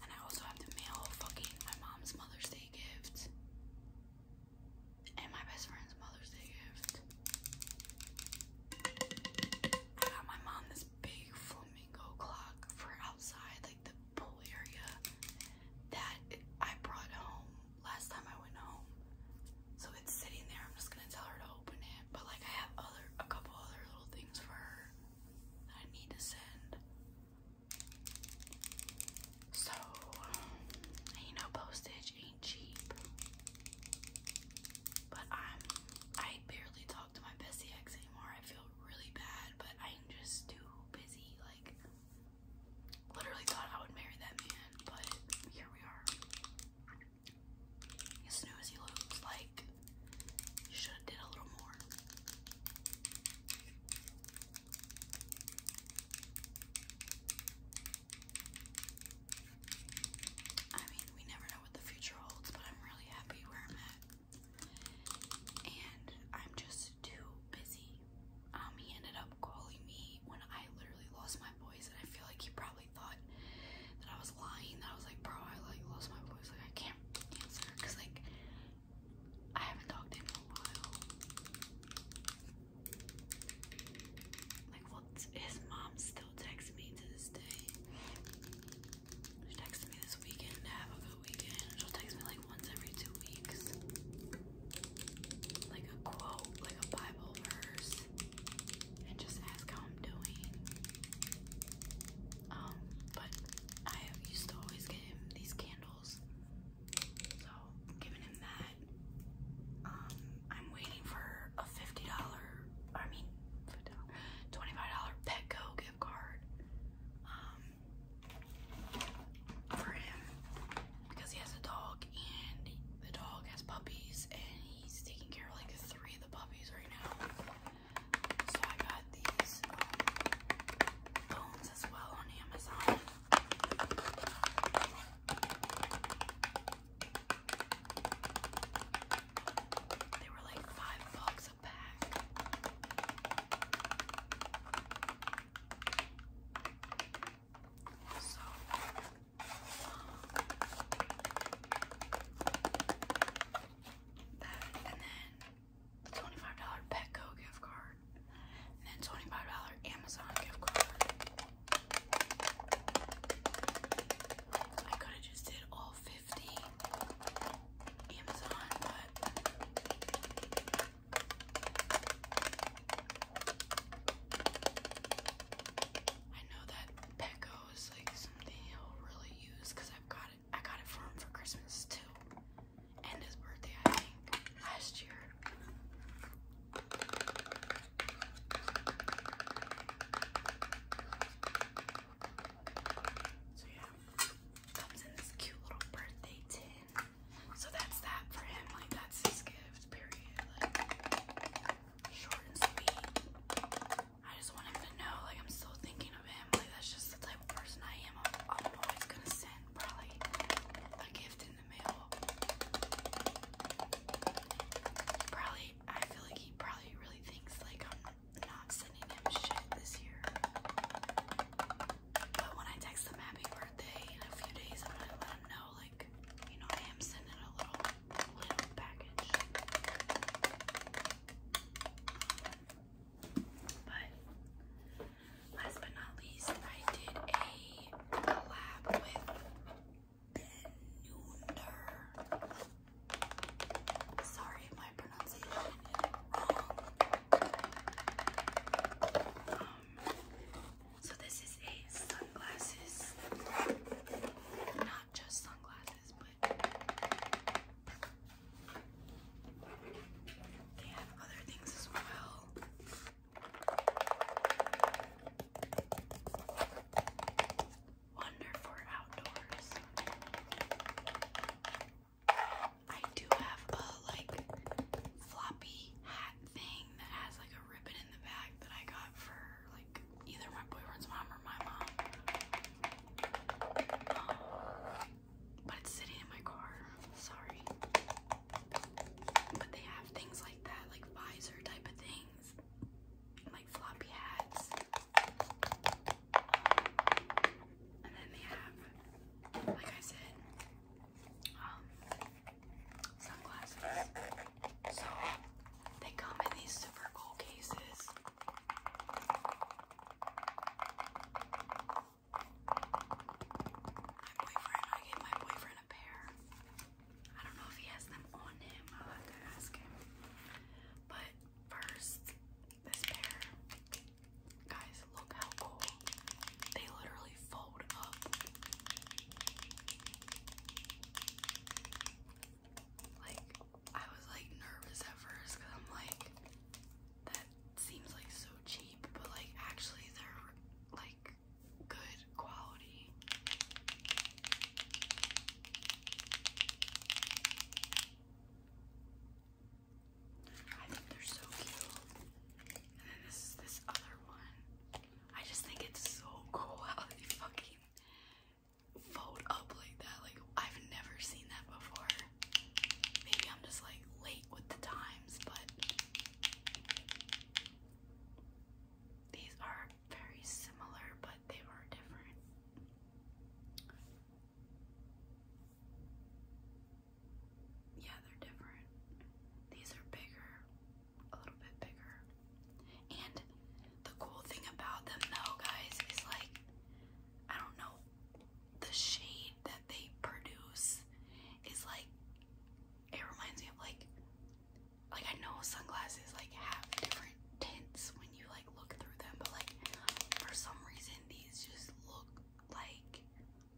And I also have to mail fucking my mom's Mother's Day gift and my best friend's Mother's Day gift. I got my mom this big flamingo clock for outside, like the pool area, that I brought home last time I went home. So it's sitting there. I'm just gonna tell her to open it. But like I have other a couple other little things for her that I need to send. So you know postage ain't cheap. But I'm I barely talk to my bestie ex anymore. I feel really bad, but I'm just too busy. Like literally thought I would marry that man, but here we are. As new he looks, like you should have did a little more. I mean, we never know what the future holds, but I'm really happy where I'm at. And I'm just too busy. Um, he ended up calling me when I literally lost my voice, and I feel like he probably thought that I was lying. That I was like, bro, I like lost my voice. Like I can't answer because like I haven't talked to him in a while. Like, well, his mom still texts me to this day. She texted me this weekend to have a good weekend. She'll text me like once every two weeks. Like a quote, like a Bible verse, and just ask how I'm doing. Um, but I used to always get him these candles, so giving him that. Um, I'm waiting for a $50, I mean, $25 Petco gift card um, for him because he has a dog and the dog has puppies and he's taking care of like three of the puppies right now. So I got these um, bones as well on Amazon. They were like five bucks a pack. So, um, that and then the $25 Petco gift card, and then $25 Amazon gift card. I could have just did all 50 Amazon, but. I know that Petco is like something he'll really use because I've got it. I got it for him for Christmas too, and his birthday I think last year. So yeah, comes in this cute little birthday tin. So that's that for him. Like that's his gift. Period short and sweet. I just want him to know, like, I'm still thinking of him. Like, that's just the type of person I am. I'm, always gonna send probably a gift in the mail. Probably, I feel like he probably really thinks, like, I'm not sending him shit this year. But when I text him happy birthday in a few days, I'm gonna let him know, like, you know, I am sending a little little package. last but not least, I did a collab with Ben Nooner. Sorry my pronunciation um, so this is a sunglasses, just sunglasses, but they have other things as well. Wonderful outdoors. I do have a like floppy hat thing that has like a ribbon in the bag that I got for like either my boyfriend's mom or my mom. Um, but it's sitting in my car. Sorry. But they have things like that, like visor type of things, like floppy hats. And then they have, like I said, um, sunglasses. So they come in these super cool cases. My boyfriend, I gave my boyfriend a pair. I don't know if he has them on him. I'll have to ask him. But first, this pair. Guys, look how cool. They literally fold up like I was like nervous at first because I'm like that seems like so cheap, but like actually they're like good quality. I think they're so cute. And then this this other one. I just think it's so cool how they fucking fold up like that. Like I've never seen that before. Maybe I'm just like late with the times, but these are very similar, but they were different. Yeah, they're different. These are bigger a little bit bigger. And the cool thing about them though, guys, is like I don't know the shade that they produce is like it reminds me of like like I know sunglasses like have different tints when you like look through them, but like for some reason these just look like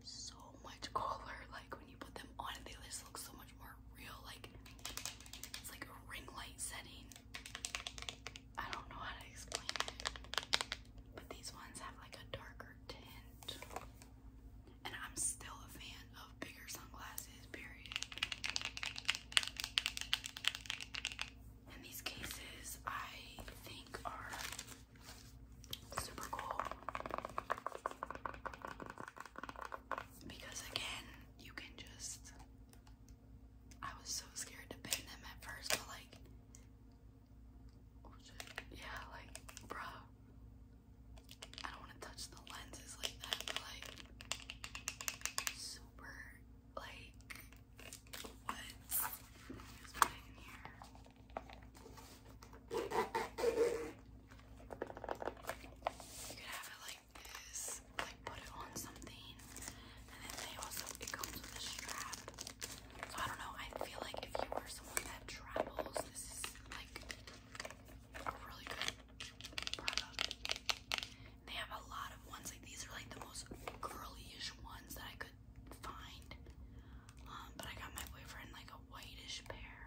so much cooler. Like when you put them on, they just look so much more real. Like it's like a ring light setting I don't know how to explain it, but these ones have like a darker tint. And I'm still a fan of bigger sunglasses, period. And these cases I think are super cool. Because again, you can just I was so scared to paint them at first, but like, yeah, like, bruh, I don't want to touch the lenses like that, like, super, like, what? is like put it on something, and then they also it comes with a strap. So I don't know. I feel like if you are someone that travels, this is like a really good product. They have a lot of ones like these are like the most girlyish ones that I could find. Um, but I got my boyfriend like a whitish pair.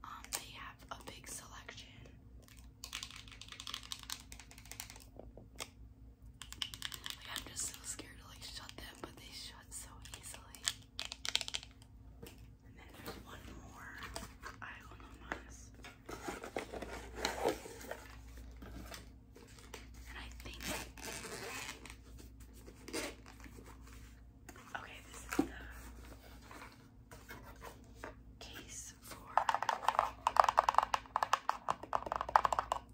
Um, they have a big selection. I'm just so scared to like shut them, but they shut so easily. And then there's one more. I don't know And I think Okay, this is the case for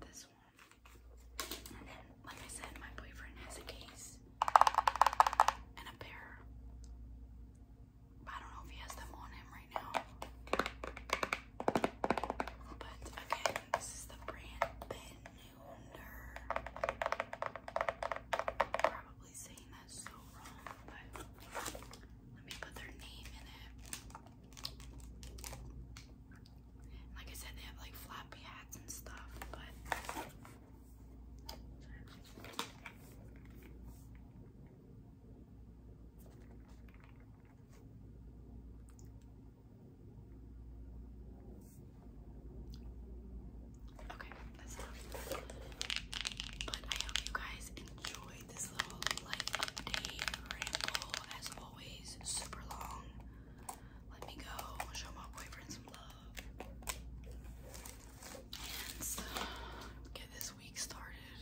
this one. And then, like I said, my boyfriend has a case and a pair. I don't know if he has them on him right now. But again, this is the brand Probably saying that so wrong, but let me put their name in it. Like I said, they have like flappy hats and stuff, but Okay, that's enough. But I hope you guys enjoy this little life update as always. Super long. Let me go show my boyfriend some love. And get this week started.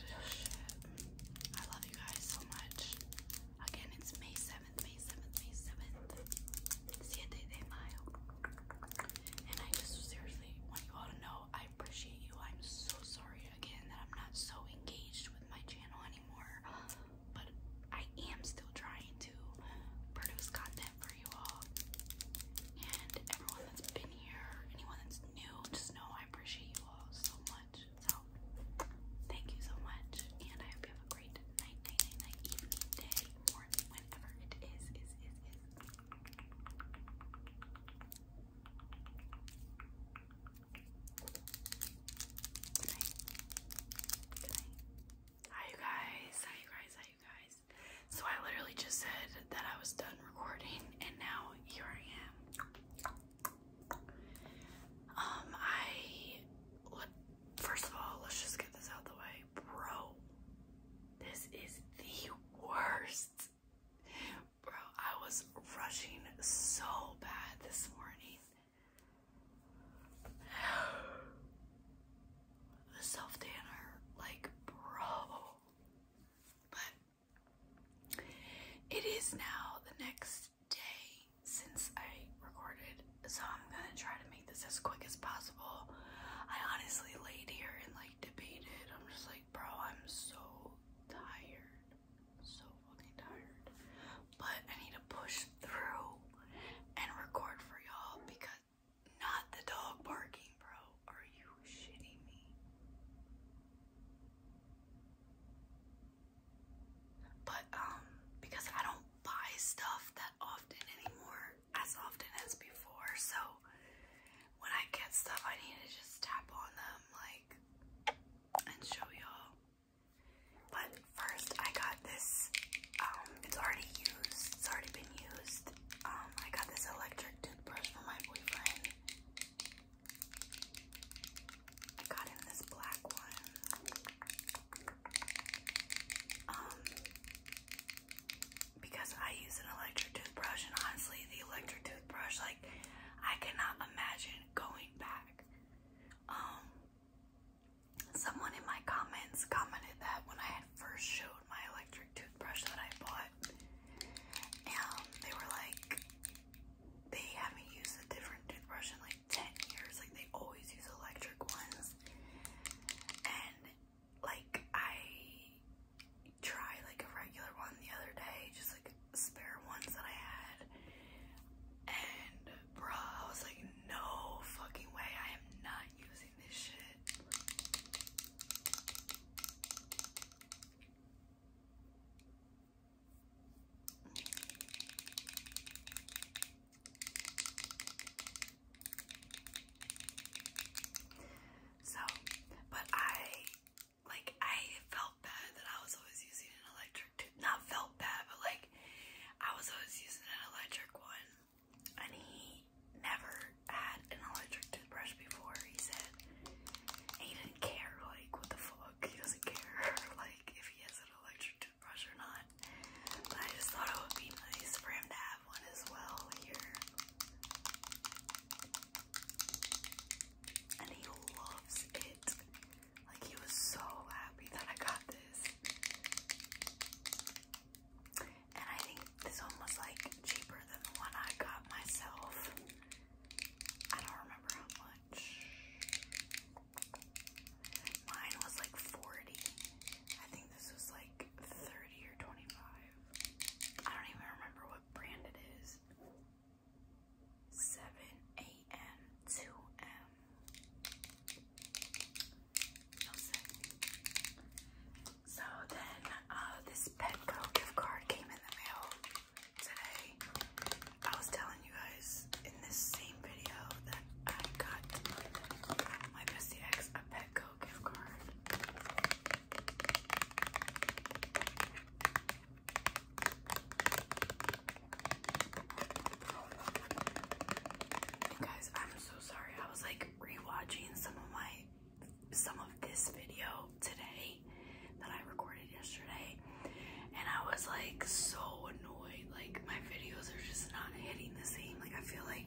I love you guys so much. Again, it's May 7th, May 7th, May 7th. Siete de Mayo. And I just seriously want you all to know I appreciate you. I'm so sorry again that I'm not so engaged with my channel anymore, but I am still trying to produce content for you all. And everyone that's been here, anyone that's new, just know I appreciate you all so much. So, thank you so much, and I hope you have a great night, night, night, evening, day, morning, whenever it Hi, you guys. Hi, you guys. Hi, you guys. So, I literally just said that I was done recording, and now here I am. Um, I. First of all, let's just get this out the way. Bro, this is the worst Bro, I was rushing so bad this morning. The self tanner, like, bro. But it is now the next day since I recorded, so I'm gonna try to make this as quick as possible. I honestly laid here and like debated. I'm just like, bro, I'm so tired so fucking tired. But I need to push through and record for y'all because not the dog barking, bro. Are you shitting me? But um because I don't buy stuff that often anymore, as often as before, so when I get stuff I need to just tap on them like and show y'all. But first, I got this. Um, it's already used. It's already been used. Um, I got this electric toothbrush from my boyfriend. I got him this black one. Um, because I use an electric toothbrush, and honestly, the electric toothbrush. Like, I cannot imagine going back. Um, someone in my comments commented that when I had first showed my electric toothbrush that I bought, um, they were like, they haven't used a different toothbrush in like 10 years. Like, they always use electric ones. And, like, I try like a regular one the other day, just like spare ones that I had. And bro, I was like, no fucking way, I am not using this shit. So, but I like I felt bad that I was always using an electric Not felt bad, but like I was always using an electric one. And he never had an electric toothbrush before, he said. he didn't care, like, what the fuck? He doesn't care, like, if he has an electric toothbrush or not. But I just thought it would be nice for him to have one as well here and he loves it. Like he was so happy that I got this. And I think this one was like cheaper than the one I got myself. I don't remember how much. Mine was like 40. I think this was like 30 or 25. I don't even remember what brand it is. 7 a.m. 2 m. so then uh, this Petco gift card came in the mail today. I was telling you guys in this same video that I got my bestie ex Petco gift card guys, I'm so sorry. I was like rewatching some of my some of this video today that I recorded yesterday and I was like so annoyed. Like my videos are just not hitting the same. Like I feel like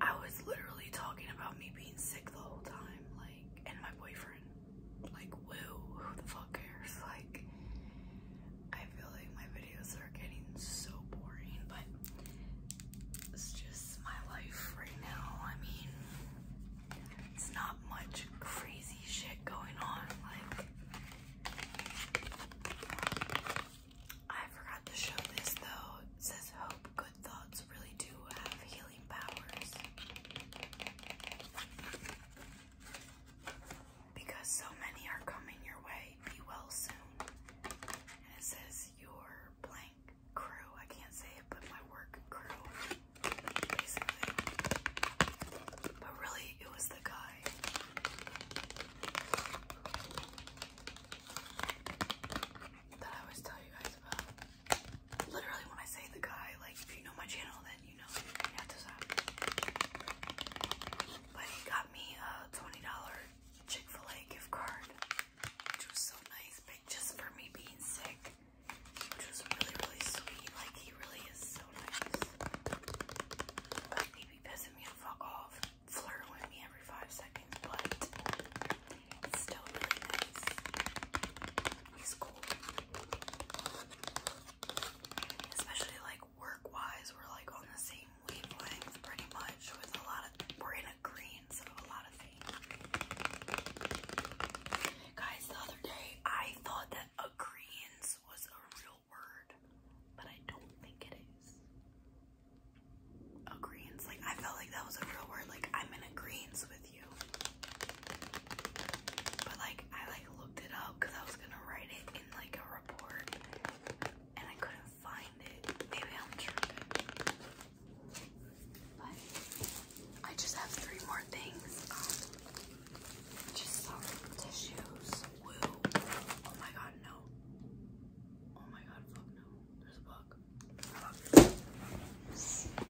I was literally talking about me being sick the whole time, like, and my boyfriend like woo, who the fuck cares? Like I feel like my videos are getting so boring, but it's just my life right now. I mean, it's not much crazy shit going on. Like, I forgot to show this though. says, Hope good thoughts really do have healing healing Because so many are coming your way, be well soon. And it says your blank crew. I can't say it, but my work crew, But really, it was the guy. That I always tell you guys about literally when I say the guy, like if you know my channel, then you know But he got me a $20 Chick-fil-A gift card, which was so nice, just for me being sick, which was really, really sweet. Like, he really is so nice. he pissing me off, flirting with me every five seconds, but it's still really nice. He's cool. Especially like work-wise, we're like on the same wavelength pretty much with a lot of we're in agreement of a lot of things. Guys, the other day I thought that agreement was a real word, but I don't think it is. Agreements, like I felt like that was a real word, like I'm in agreement with you. But like I like looked it up because I was gonna write it in like a report and I couldn't find it. Maybe I'm tripping. But I just have three more things. Um just some tissues. Oh my god, no. Oh my god, fuck no. There's a bug.